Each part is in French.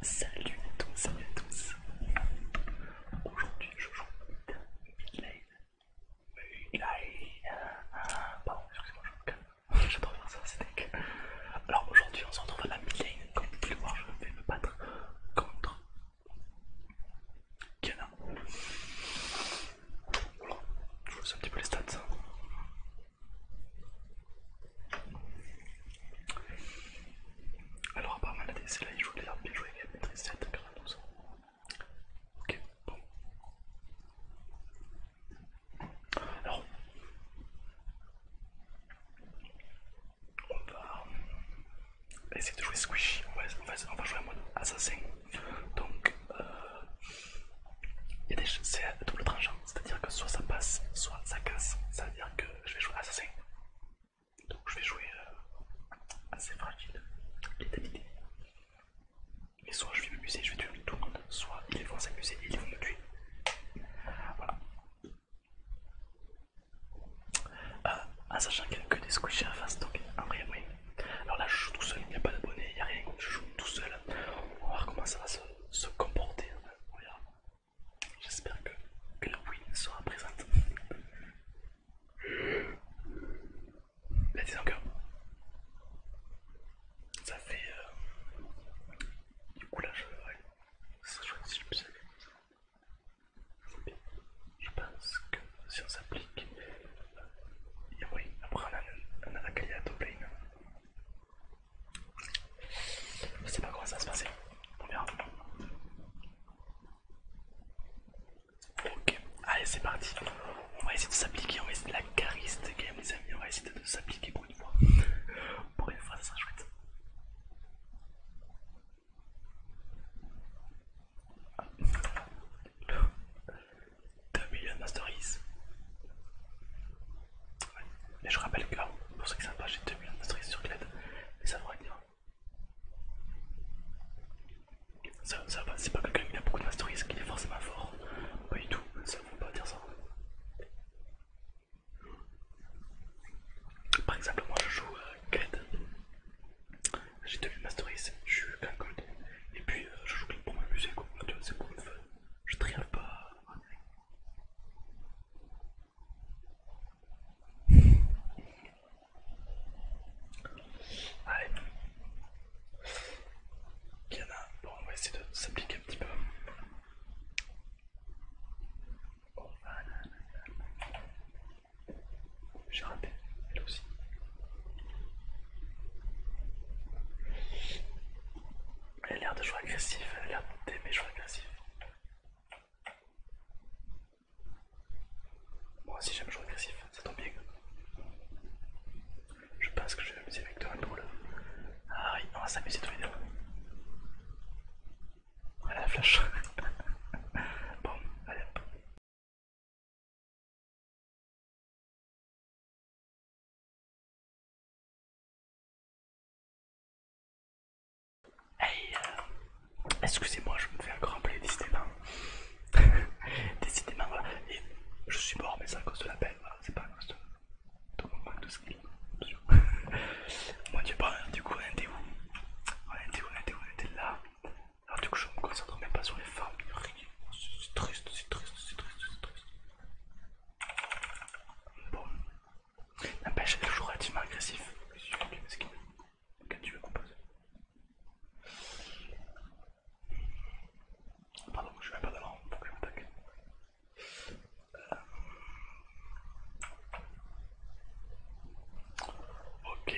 Salut à tous, salut à tous. Aujourd'hui, je joue Midlane. Midlane. Euh, euh, pardon, excusez-moi, je me calme. J'adore faire ça, c'est deck. Alors aujourd'hui, on se retrouve à la Midlane. Comme vous pouvez le voir, je vais me battre contre Canin. Je vous laisse un petit peu les stats. Alors, à part maladie, c'est là il joue d'ailleurs bien joué avec la maîtrise 7, 92. Ok, bon. Alors, on va essayer de jouer squishy, on va, jouer en mode assassin. Donc, euh, c'est double tranchant, c'est-à-dire que soit ça passe, soit ça casse. C'est à dire que je vais jouer assassin. Donc je vais jouer euh, assez fragile et Mais soit je vais m'amuser, je vais tuer tout le monde, soit ils vont s'amuser et ils vont me tuer. Voilà à ah, sachant qu'il n'y a que des squishies à face, donc en vrai, oui. Alors là, je joue tout seul, il n'y a pas d'abonnés il n'y a rien, je joue tout seul. On va voir comment ça va se, comporter. On hein. J'espère que, que la win sera présente. Là, dis donc. ça fait euh, du coup là, je, ouais, ça chouette je je pense que si on s'applique, euh, oui, après on a la caillade au plane. Je sais pas comment ça va se passer, on verra. Ok, allez c'est parti, on va essayer de s'appliquer, on va essayer de la cariste game les amis, on va essayer de s'appliquer pour une fois. pour une fois ça sera chouette. 2 millions de masteries. Et je rappelle que hein, pour ceux qui ne savent pas, j'ai 2 millions de masteries sur Kled, mais ça devrait dire. Ça, va, c'est pas quelqu'un qui a beaucoup de masteries qui est forcément fort. Pas du tout, ça ne vaut pas dire ça. Par exemple, moi je joue Kled. Euh, j'ai devenu masteries, je suis plein Et puis euh, je joue pour m'amuser, quoi. tu c'est pour le fun. Je triomphe pas. Allez. un. bon, on va essayer de s'appliquer un petit peu. Oh, ah, j'ai raté, elle aussi. Elle a l'air de jouer agressif, elle a l'air d'aimer jouer agressif. Moi aussi j'aime jouer agressif, ça tombe bien. Je pense que je vais m'amuser avec toi pour drôle. Ah oui, on va s'amuser tous les deux. Voilà la flash. bon, allez hop. Hey, euh, excusez-moi, je me fais encore appeler, décidément. décidément, voilà. Et je suis mort, mais c'est à cause de la peine, voilà. C'est pas à cause de, tout mon qui de skill. Moi, tu parles, du coup, on était où On était où On était, où, on était là. Alors du coup je me concentre même pas sur les femmes, C'est triste, c'est triste, c'est triste, c'est triste. Bon. N'empêche, elle est toujours relativement agressif. que tu veux composer. Pardon, je vais pas de l'ordre euh. Ok.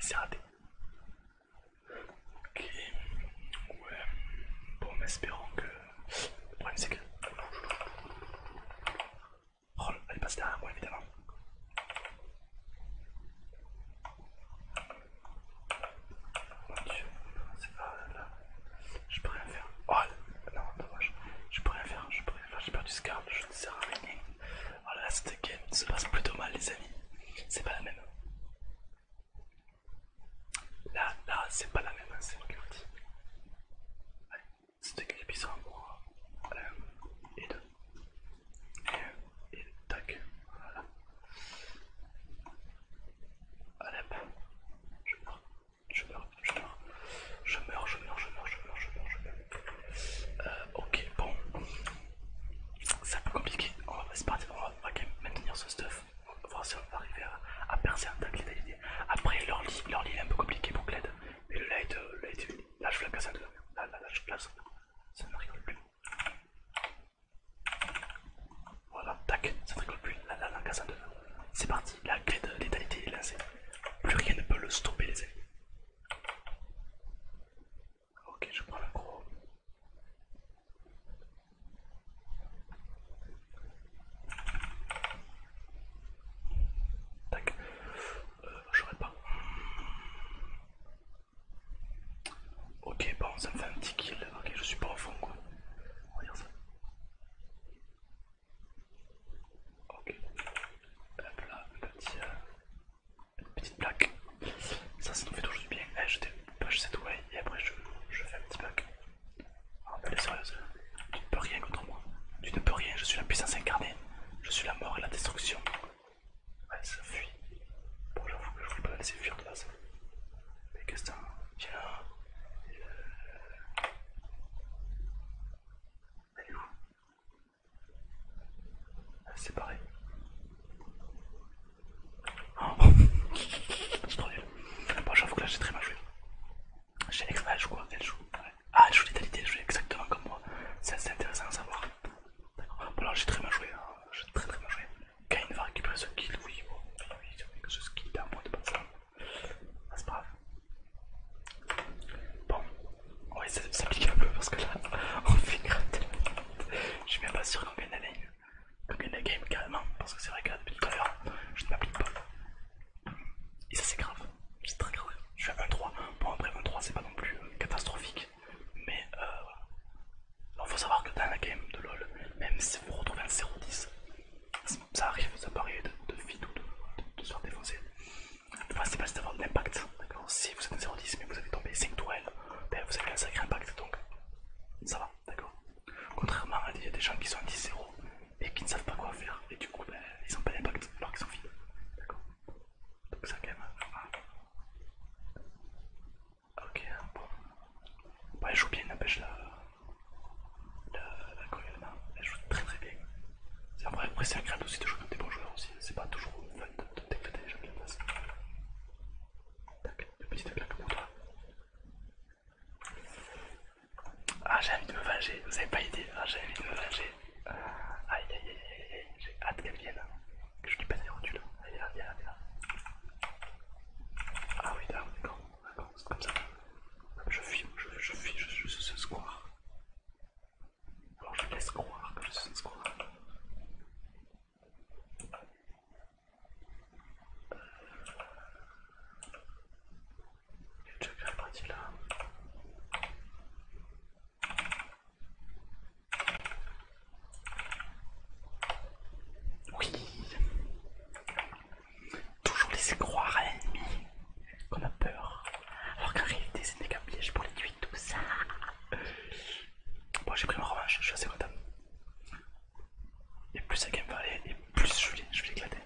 C'est raté. Ok. Ouais. Bon, mais que. Le problème c'est que. Oh, elle passée derrière moi évidemment. c'est là. Je peux rien faire. Oh non, dommage. Je peux rien faire. Je peux rien faire. J'ai perdu ce je un sers à rien. Voilà, cette game se passe plutôt mal, les amis. C'est pas la même. Là, là, c'est pas la même, hein, c'est moi qui c'est dis. C'était que bizarre pour voilà. et deux. Et, un. et tac. Voilà. Allez, je meurs. Je meurs je meurs, je meurs, je meurs, je meurs, je meurs, je meurs, euh, ok, bon, c'est un peu compliqué. On va, partir. on va maintenir ce stuff. On va voir si on va arriver à, percer un tac l'étalité. Après, leur lit, leur est un peu compliqué pour Gled. Mais le light, euh, lâche light là je la casse à deux. Là, là, je Ça ne rigole plus. Voilà, tac, ça ne rigole plus. la la casse à C'est parti, la clé de létalité est lancée. Plus rien ne peut le stopper, les amis. Ok, je prends l'aggro. Tac. Euh, J'aurais pas. Ok, bon, ça me fait un petit kill. Ok, je suis pas au fond quoi. regarde ça. Ok. Hop là, petite plaque. Ça, ça nous fait toujours du bien. Eh, je je dépêche cette way et après je, fais un petit bug. Oh mais elle sérieuse. Tu ne peux rien contre moi. Tu ne peux rien, je suis la puissance incarnée. Je suis la mort et la destruction. Ouais, ça fuit. Bon, j'avoue que je voulais pas laisser fuir de base. Mais qu'est-ce que ça Tiens. Elle est où c'est pareil. C'est trop nul. Bon, j'avoue que là j'ai très mal joué. J'ai elle joue quoi Elle joue. Ah, elle joue l'italité, elle joue exactement comme moi. C'est assez intéressant à savoir. D'accord. Bon, là j'ai très mal joué. J'ai très très mal joué. Kain va récupérer ce kill, oui. Oui, Oui, que ce kill d'un point de base. Ah, c'est pas grave. Bon, ouais, ça pique un peu parce que là, on fait le tellement. Je suis même pas sûr qu'on gagne la lane, qu'on game carrément, parce que c'est vrai que depuis tout à l'heure, je ne m'applique pas. Et ça, c'est grave, c'est très grave. Je suis à 1-3. Bon, après 2 3 c'est pas non plus euh, catastrophique, mais euh, faut savoir que dans la game de LoL, même si vous retrouvez un 0-10, ça arrive, ça peut de, de ou de se faire défoncer. C'est pas c'est d'avoir de l'impact. Si vous êtes un 0-10 mais vous avez tombé 5 tourelles, ben vous avez un sacré impact donc ça va, d'accord Contrairement à des, des gens qui sont à 10-0 et qui ne savent pas quoi faire et du coup ben, ils n'ont pas d'impact alors qu'ils sont finis d'accord Donc ça quand même. Ok, bon. Bah, elle joue bien n'empêche La, la, la, elle joue très très bien. C'est vrai, après c'est agréable aussi de jouer comme des bons joueurs aussi, c'est pas toujours fun de déclater les gens qui passent. Tac, le petit claque pour toi. Ah j'ai envie de me venger, vous avez pas idée, ah, j'ai envie de me venger. Aïe aïe aïe aïe aïe, j'ai hâte qu'elle vienne, que je lui passe des rotules. Allez là, viens là, viens là. Ah oui, d'accord, d'accord, c'est comme ça. Je fuis, je fuis, je, suis ce square. Alors je laisse croire que je sais ce qu'on a. Il y a déjà là. Oui Toujours laisser croire à l'ennemi qu'on a peur. Alors qu'en réalité, c'est des piège pour les tuer ça bon, j'ai pris ma revanche, je suis assez content. Et plus ça game va aller, et plus je vais, je l'éclater.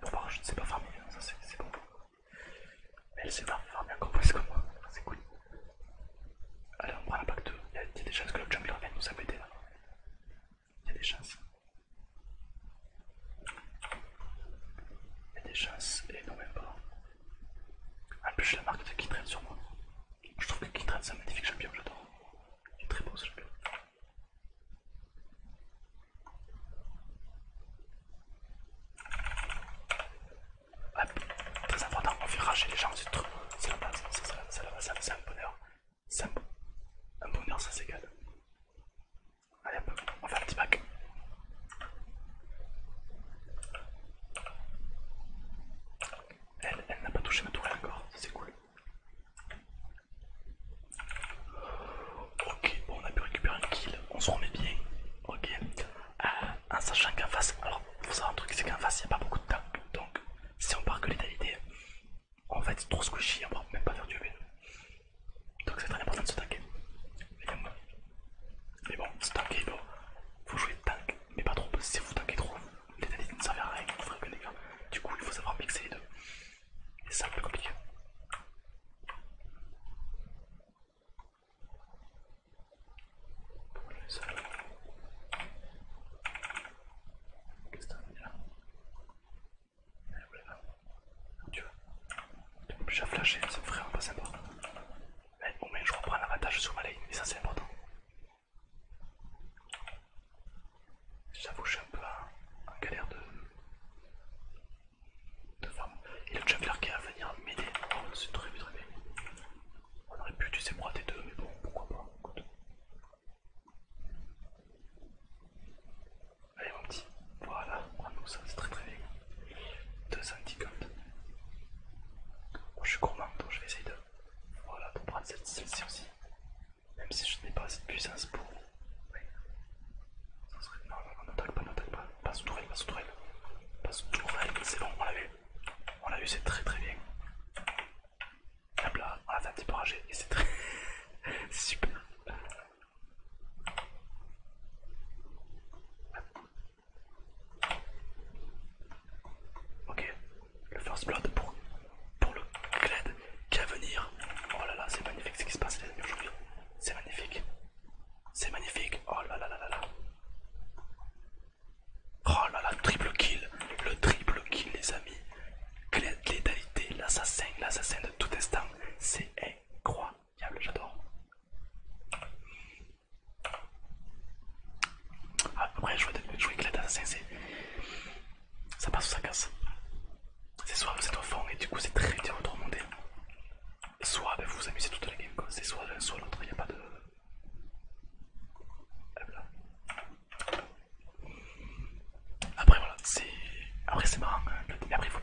Bon, bah, je ne sais pas farmer, hein, ça c'est bon. Mais elle sait pas farmer encore plus que moi, c'est cool. Allez, on prend la pack 2. Il y, a, des chances que le jungler vienne nous abéter là. Il y a des chances. Il y a des chances, et non, même pas. En plus, j'ai la marque de Kitren sur moi. Je trouve que Kitren c'est un magnifique champion, j'adore. Il est très beau ce champion. très important, on fait rager les gens C'est la base, c'est un bonheur. C'est un bonheur, ça s'égale. Allez hop, on fait un petit pack. Elle, elle n'a pas touché ma tourelle encore, c'est cool. Ok, bon on a pu récupérer un kill, on se remet bien. Ok, euh, en sachant qu'en face, alors faut savoir un truc, c'est qu'en face il n'y a pas beaucoup de temps. Donc si on part que létalité, on va être trop squishy, on va même pas faire du EV. Donc c'est très important de se taquer. Mais bon, c'est tanker, il Faut jouer tank, mais pas trop, parce que si vous tankez trop, les analyses ne servent à rien, vous ferez que les gars. Du coup, il faut savoir mixer les deux. Et c'est un peu compliqué. Qu'est-ce que t'as mis là Allez, vous l'avez. Tu vois j'ai flashé, ça me c'est vraiment pas sympa. Eh, mais au moins je reprends l'avantage sur ma lane, et ça c'est important. J'avoue, je suis un peu en galère de, de femme. a le jungler qui va venir m'aider, oh, c'est très bien, très bien. On aurait pu utiliser moi des deux, mais bon, pourquoi pas. Allez mon petit, voilà, prends-nous ça, c'est très très bien. Deux gold je suis gourmand donc je vais essayer de. prendre celle-ci aussi. Même si je n'ai pas assez de puissance pour. Non, Non, non, ne n'attaque pas, n'attaque pas. Pas sous tourelle, pas sous tourelle. Pas sous tourelle, c'est bon, on l'a vu, On l'a vu, c'est très très bien. Hop là, on l'a fait un petit peu rager et c'est très. super. Ok, le first blood pour, pour le Kled qui va venir. Oh là là, c'est magnifique ce qui se passe les amis aujourd'hui. C'est magnifique. C'est magnifique. Oh là là là là là. Oh là là, triple kill. Le triple kill les amis. Kled létalité, l'assassin, l'assassin de tout instant. C'est incroyable. Diable, j'adore. Ah, après, jouer, jouer avec l'assassin, c'est. Ça passe ou ça casse. C'est soit vous êtes au fond et du coup c'est très dur de remonter. Soit ben, vous vous amusez toute la game, c'est soit l'un, soit l'autre, il n'y a pas de. Après voilà, c'est. Après c'est marrant, hein, mais après il faut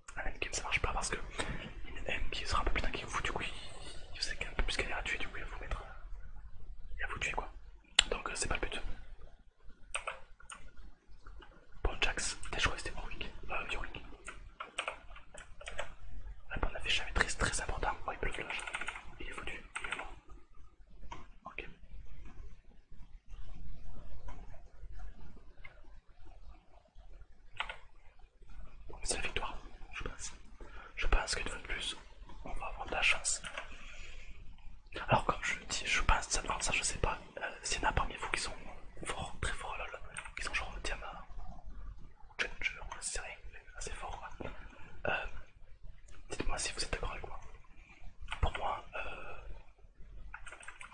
un endgame ça marche pas parce que une M qui sera un peu plus dingue que vous, du coup il, qu'un peu plus galère à tuer, du coup il va vous mettre. Euh, il va vous tuer quoi. Donc euh, c'est pas le but. Bon, Jax, euh, Ouais, c'était Euh, Ouais, jamais très, très important. ouais il Il est foutu, il est mort. Ok. C'est la victoire, je pense. Je pense qu'une fois de plus, on va avoir de la chance. Alors comme je dis, je pense, ça, ça je sais pas, euh, s'il y en a parmi vous qui sont forts, très forts lol, qui sont genre ou Ginger, c'est rien, assez fort. quoi. Euh, dites-moi si vous êtes d'accord avec moi. Pour moi, euh...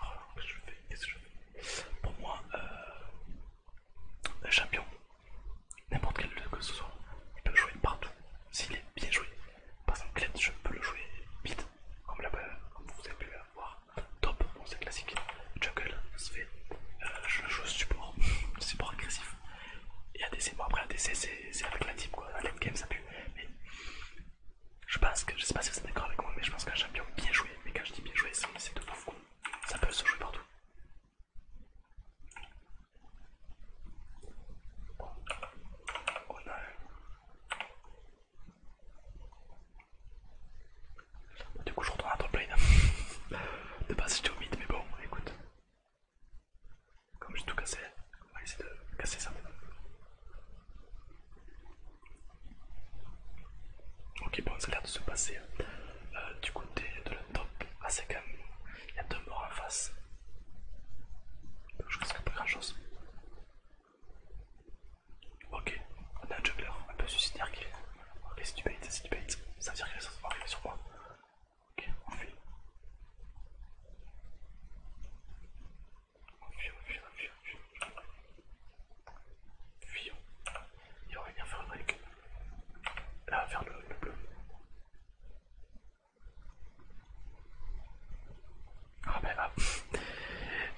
Oh, qu'est-ce que je fais, que je fais Pour moi, euh... Un euh, champion, n'importe quel jeu que ce soit, il peut jouer partout s'il est bien joué. Par exemple, je peux le jouer vite, ben, comme, vous avez pu le voir. Top, bon, c'est classique. Jungle, se fait. Euh, je joue support, support agressif. Et ADC, bon après ADC c'est avec la team quoi, le game ça pue. Mais je pense que, je sais pas si vous êtes d'accord avec moi, mais je pense qu'un champion bien joué, mais quand je dis bien joué, c'est de ouf ça peut se jouer partout. Oh, bah, du coup, je retourne à top lane. de base, j'étais au mid, mais bon, écoute. Comme j'ai tout cassé, on va essayer de casser ça. Ok, bon, ça a l'air de se passer euh, euh, du côté de la top assez calme. Il y a deux morts en face. Donc, je risque pas grand chose. Ok, on a un juggler un peu suicidaire qui est. Ok, c'est du bait, c'est Ça veut dire que va arriver sur moi. Ok, on fuit. On fuit, on fuit, on fuit, on fuit. Fuyons. Et on va venir faire un break. Là, vers le, bleu. Ah ben va, ah.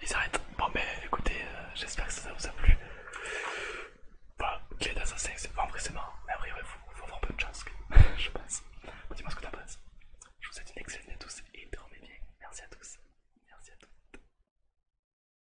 ils arrêtent. Bon mais ben, écoutez, euh, j'espère que ça vous a plu. Voilà, clé d'assassin, c'est pas vrai, c'est marrant. Mais après, il faut, faut avoir peu de chance, je pense. Dis-moi ce que t'en penses. Je vous souhaite une excellente année à tous et dormez bien. Merci à tous. Merci à toutes.